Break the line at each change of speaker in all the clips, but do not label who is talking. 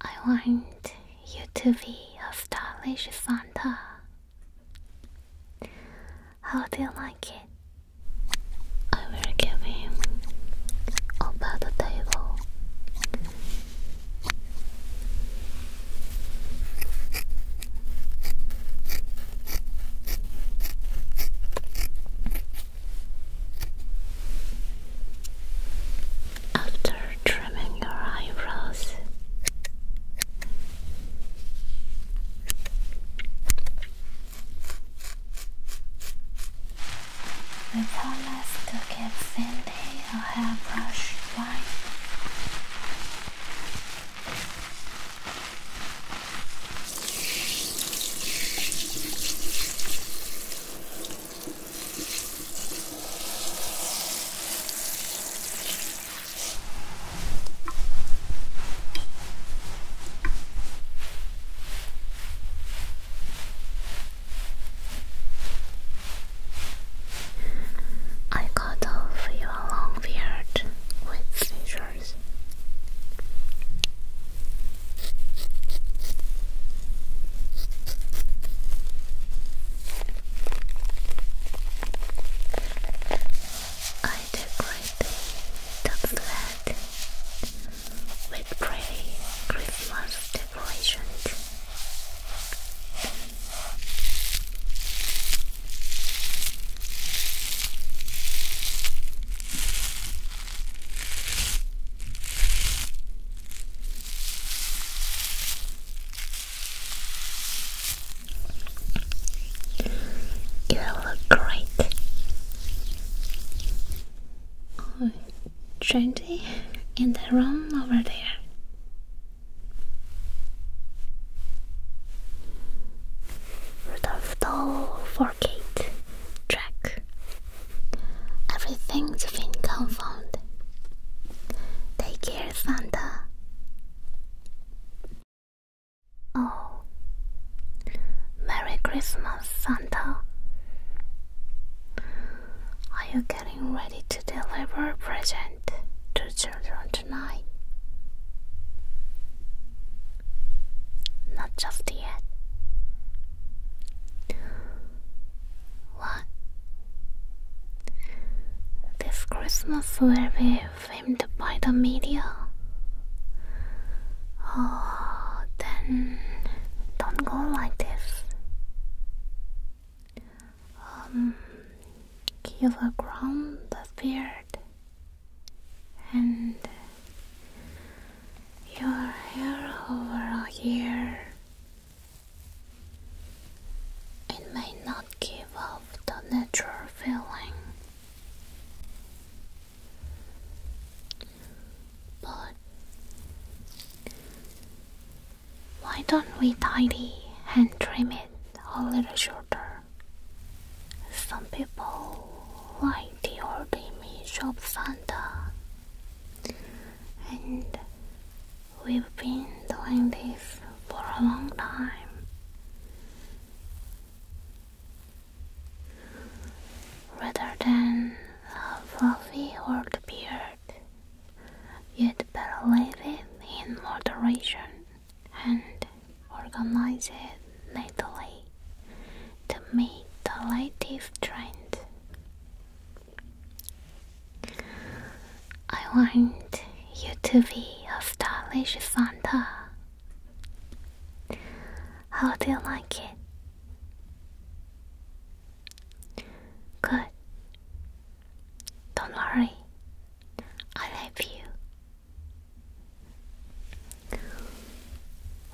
I want you to be a stylish Santa. How do you like it? I will give him a better table. After trimming your eyebrows, I promise to give Cindy a hairbrush one. I got off your long beard with scissors. I decorate the flat with pretty Christmas decorations. You look great. Oh, trendy in the room over there. Rudolph Doll Forgate Track. Everything's been confound. Take care, Santa. Oh, Merry Christmas, Santa. Are you getting ready to deliver a present to children tonight. Not just yet. What? This Christmas will be filmed by the media. Oh, then don't go like this. Um, give a ground the beard and your hair overall here. It may not give off the natural feeling, but why don't we tidy and trim it a little shorter? Some people like the old image of Santa, and we've been doing this for a long time. Rather than a fluffy old beard, you'd better leave it in moderation and organize it neatly to meet the latest trend. I want you to be a stylish Santa. How do you like it? Good. Don't worry. I love you.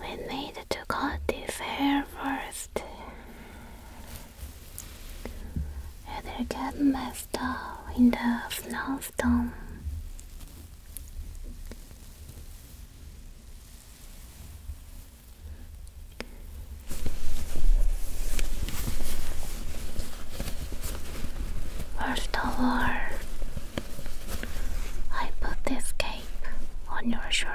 We need to cut this hair first. It'll get messed up in the snowstorm. First of all, I put this cape on your shoulder.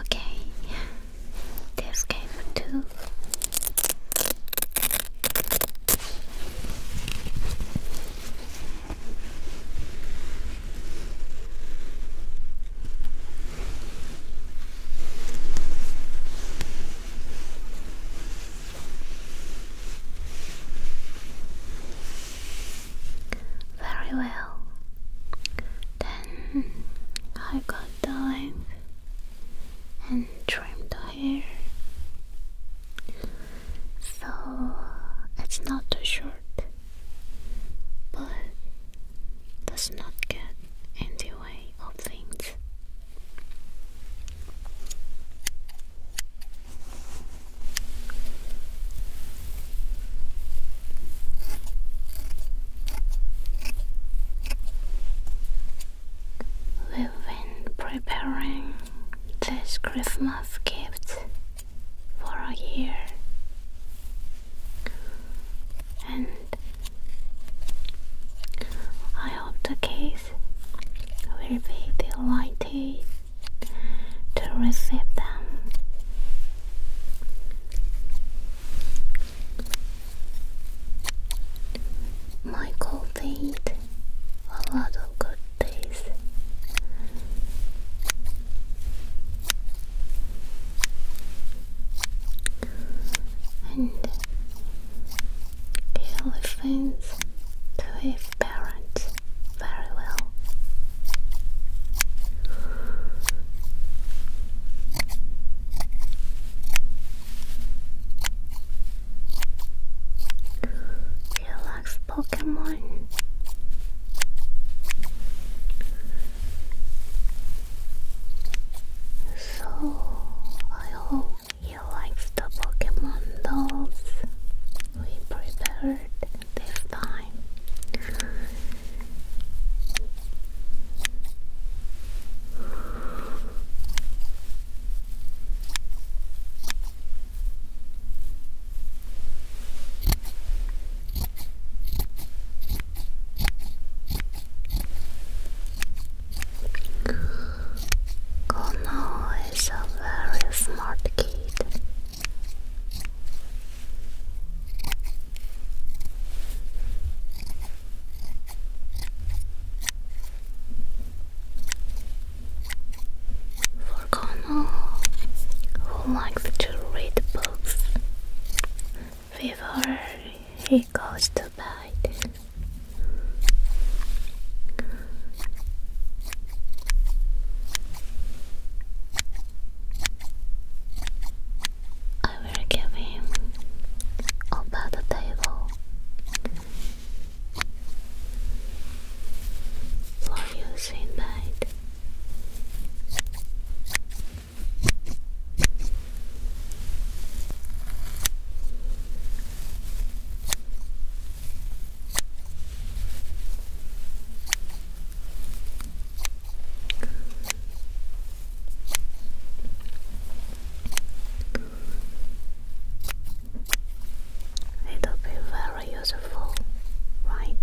Okay, this game too. Very well. Then I got the length and trimmed the hair. So it's not too short but does not get in the way of things. We've been preparing this Christmas gift for a year. And I hope the case will be delighted to receive them. Michael did a lot of good things and the elephants to his parents very well. Relax Pokemon so, I hope you liked the Pokemon dolls we prepared this time. Kono is a very smart kid. For Kono, who likes to read books before he goes to bed. I will give him over the table for use in bed. I will be very useful beautiful, right?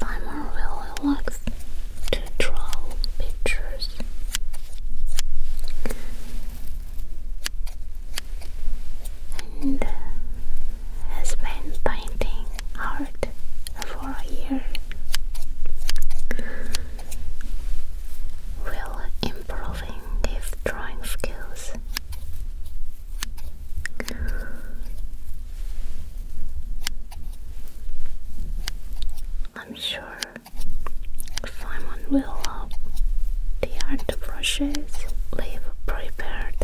Simon really likes to draw pictures and has been painting art for a year. Will improving his drawing skills. I'm sure Simon will love the art the brushes, leave prepared.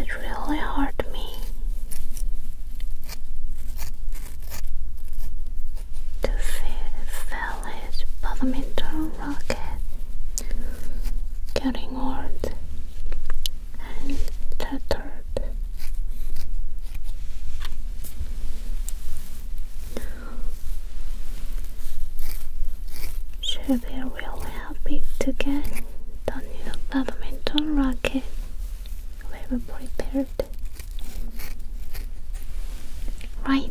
It really hurt me to see Alice Badminton Racket Getting old and tattered She'll be really to get the new badminton racket we prepared Right,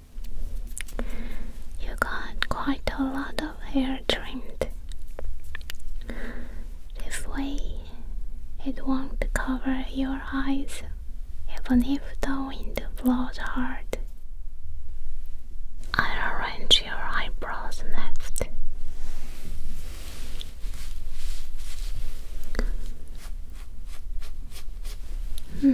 You got quite a lot of hair trimmed. This way, it won't cover your eyes even if the wind blows hard. I'll arrange your eyebrows next. Hmm.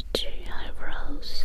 pretty eyebrows.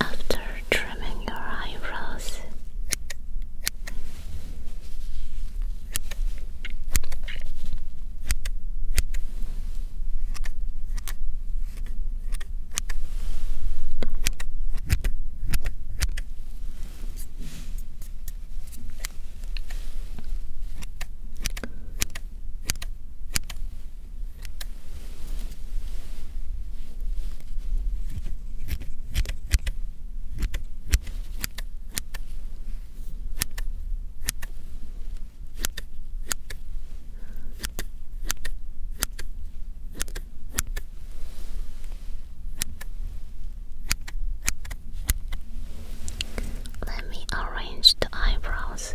After trimming your eyebrows, let me arrange the eyebrows.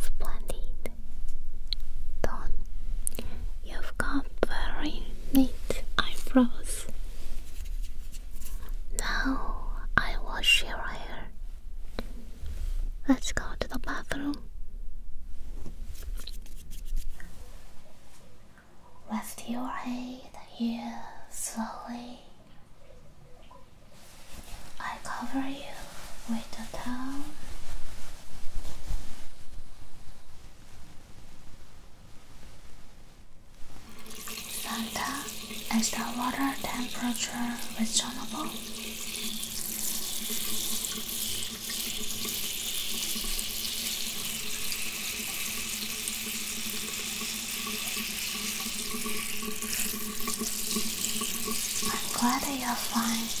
Splendid done. You've got very neat eyebrows. Now I wash your hair. Let's go to the bathroom. Rest your head here slowly. I cover you with is the water temperature reasonable? I'm glad that you're fine.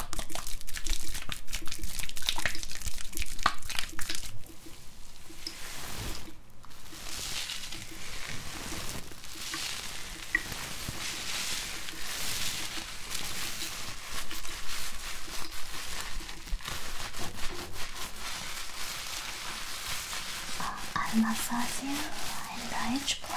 I massage you in each place.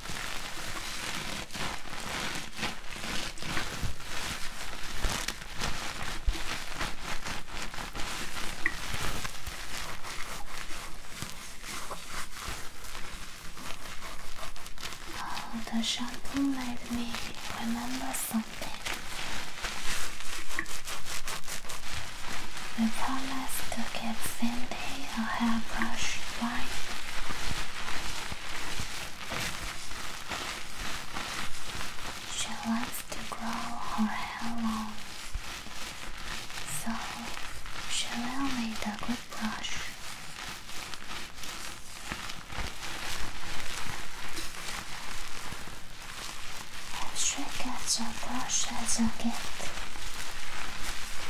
Oh, the shampoo made me remember something. The colors took it same day a hairbrush line. She wants to grow her hair long, so she will need a good brush. If she gets a brush as a gift,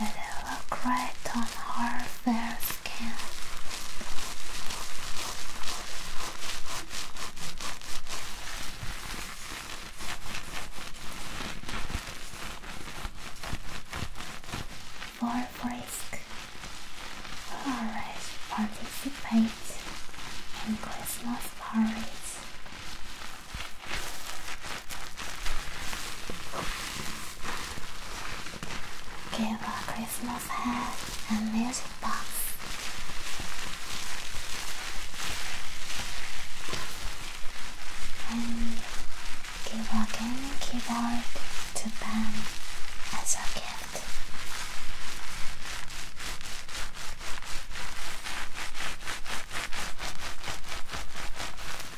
and it looked right on her fair skin. For Frisk, always participate in Christmas parties. Give a Christmas hat and music box. And give a gaming keyboard to Ben as a gift.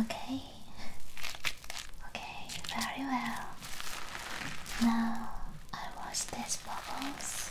Okay, okay, very well. Now I wash these bubbles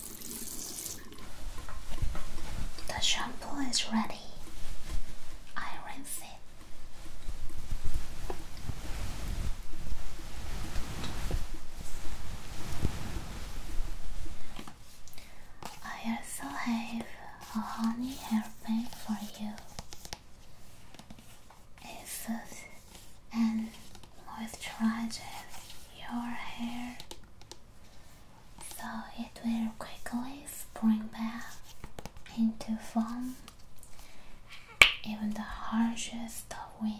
The shampoo is ready. I rinse it. I also have a honey hairpin for you. It soothes and moisturizes your hair so it will quickly spring back into form even the harshest of winds.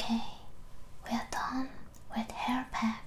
Okay, we are done with hair packs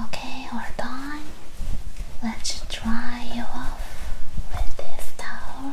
Okay, we're done. Let's dry you off with this towel.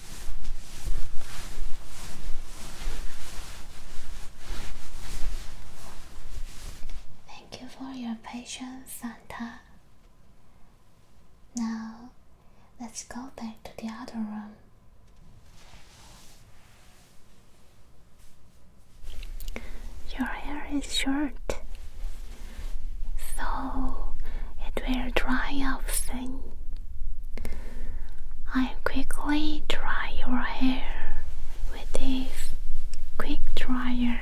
Thank you for your patience, Santa. Now, let's go back to the other room. Your hair is short, so it will dry off soon. I will quickly dry your hair with this quick dryer.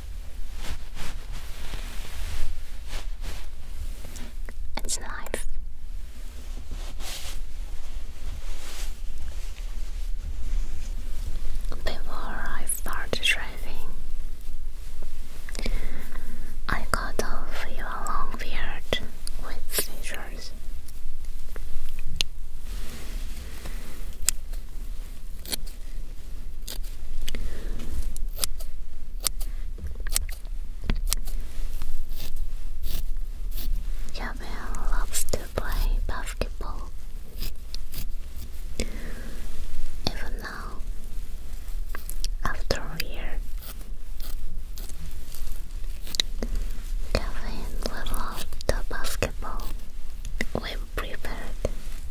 It's life. Before I started driving, I cut off your long beard with scissors. Jamel loves to play basketball. Even now, after a year, Kevin will the basketball we prepared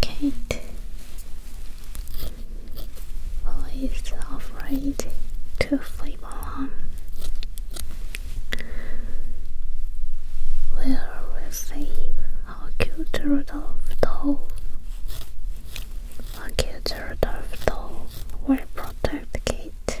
Kate, who is afraid to sleep alone, will receive a cute Rudolph doll. A cute Rudolph doll will protect Kate.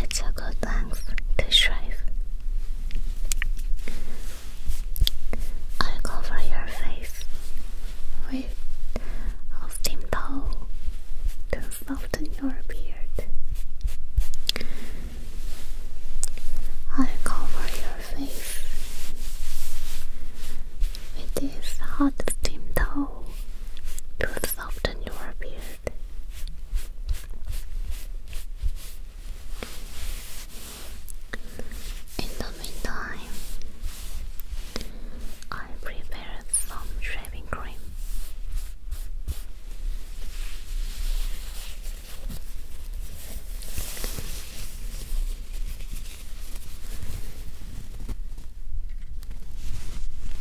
It's a good length to shave. I cover your face with a steam towel to soften your beard. I cover your face with this hot steam towel to soften your beard list. In the meantime, I prepared some shaving cream.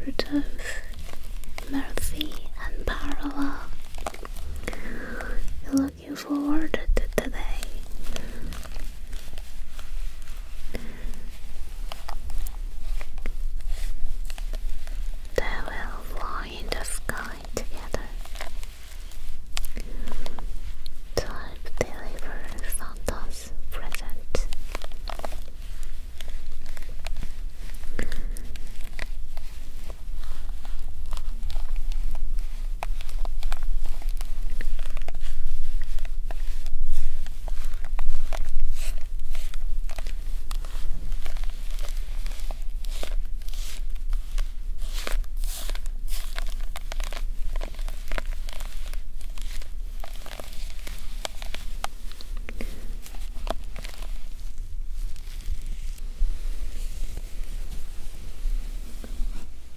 Rudolph, Mercy, and Parola. Looking forward to today. They will fly in the sky together. Type deliver Santa's present.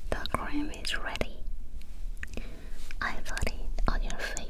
The cream is ready. I put it on your face.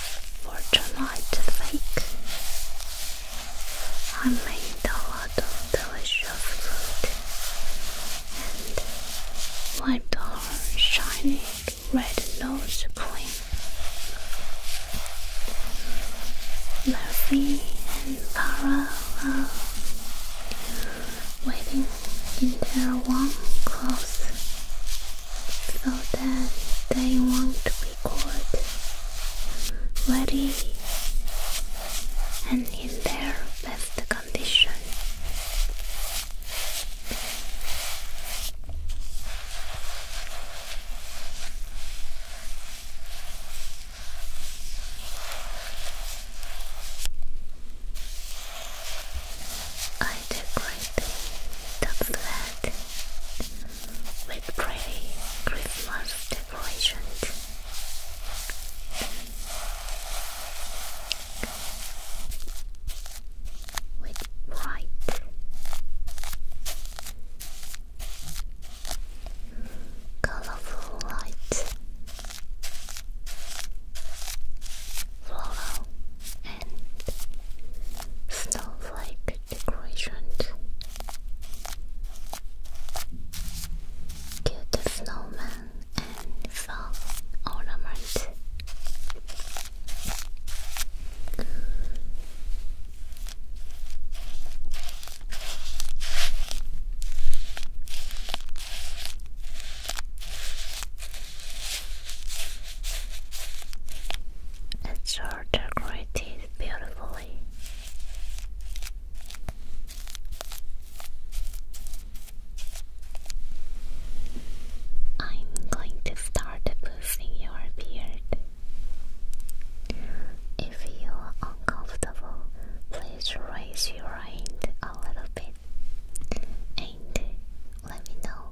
for tonight's bake. I made a lot of delicious food and wiped our shiny red nose clean. Murphy and Para are waiting in their warm clothes so that they won't good. Ready and in their best condition. I decorate the flat with pretty Christmas decorations. With bright colorful lights, floral and snowflake decorations. Cute snowman and fall ornament. It's are decorated beautifully. I'm going to start boosting your beard. If you are uncomfortable, please raise your hand a little bit and let me know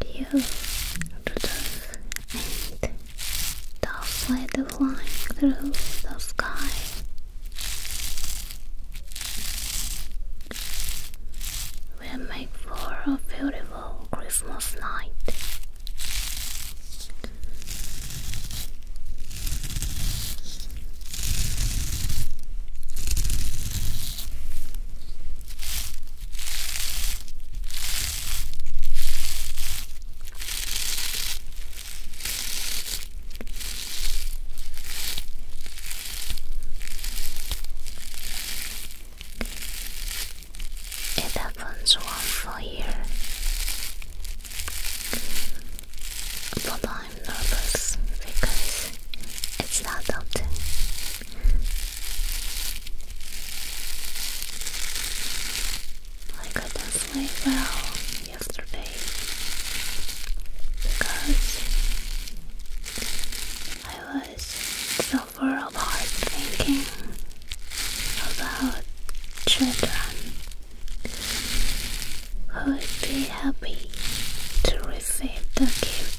Deal, Rudolph, and Dolph led the flying through the sky. We'll make four of beautiful Christmas night. It happens one for year. But I'm nervous because it's not often. I could sleep well yesterday because I was so suffer a lot thinking about children who would be happy to receive the gift.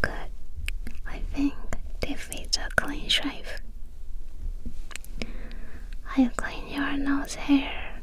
Good. I think this is a clean shave. I'll clean your nose hair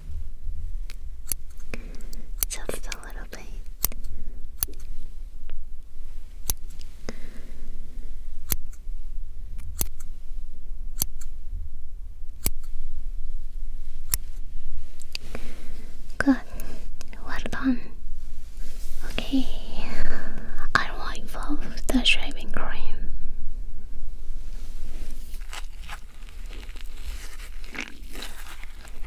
Just a little bit. Good. Well done. Okay. I will involve the shaving cream.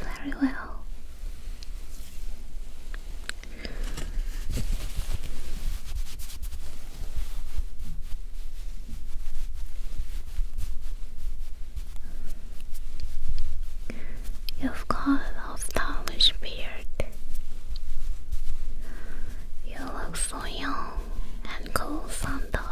Very well. You've got a stylish beard. You look so young and cool, Santa.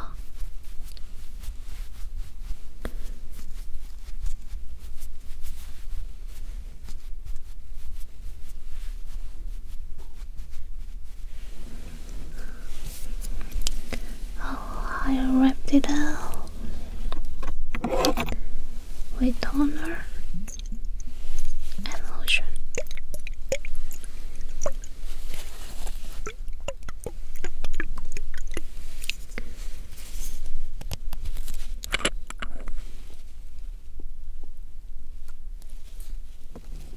Oh, I wrapped it up with toner and lotion.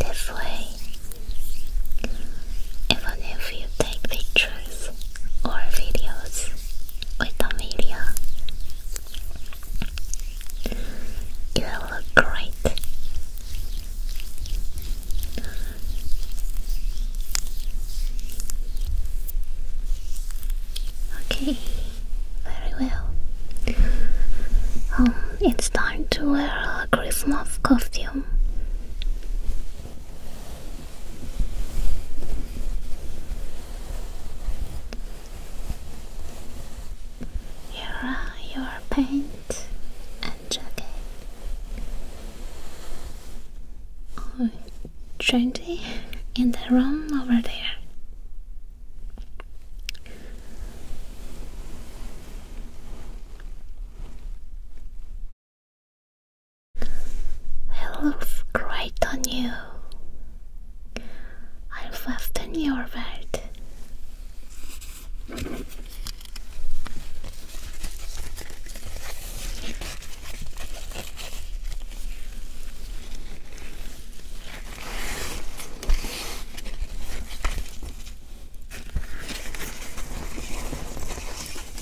This way, even if you take pictures or videos, Vitamin You look great. Okay, very well. Um, it's time to wear a Christmas costume. Your, your paint and jacket. Oh, trendy in the room over there. It looks great on you. I fasten your belt.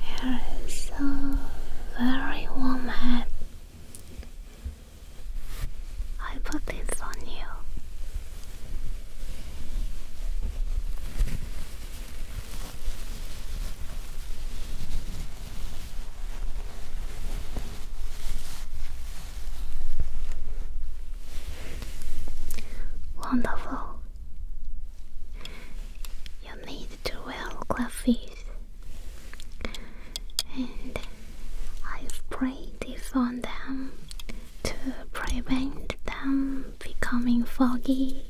Here is a very warm head. I put this on you. Wonderful. You need with twelve coffees, and I've prayed on them to prevent them becoming foggy.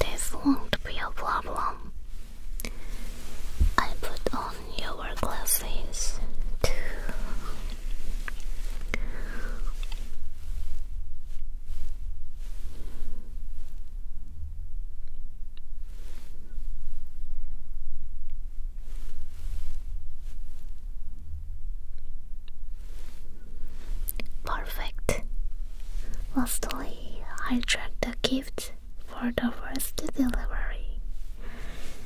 This won't be a problem. I put on your glasses too. Perfect. Lastly, I track the gifts for the first delivery,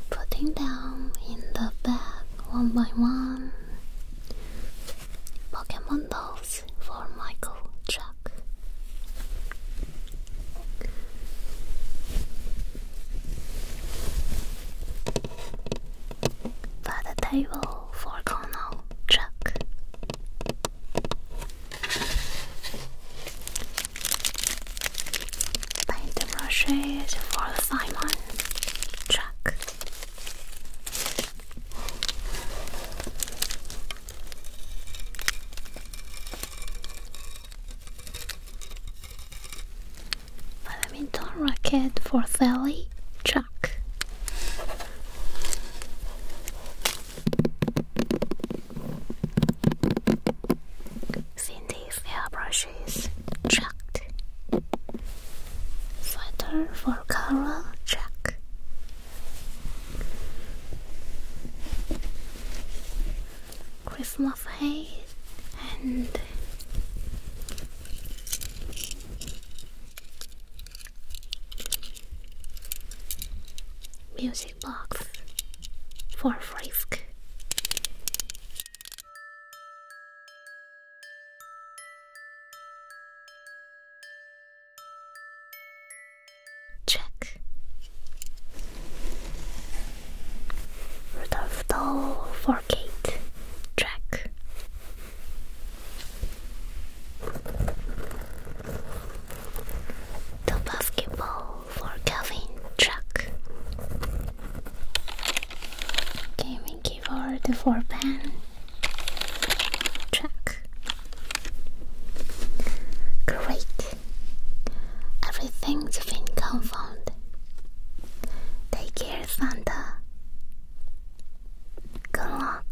putting them in the bag one by one. Pokemon dolls for Michael Jack. the table for Colonel Chuck. Paint for Simon Chuck. Badminton racket for Sally Chuck. Cindy's hairbrushes chucked. Sweater for Carol Jack. Christmas haze and music box for frisk. Check. Rudolph doll for Kate. Track. The basketball for Calvin. Track. Before the four pan track. Great. Everything's been confirmed. Take care, Santa. Good luck.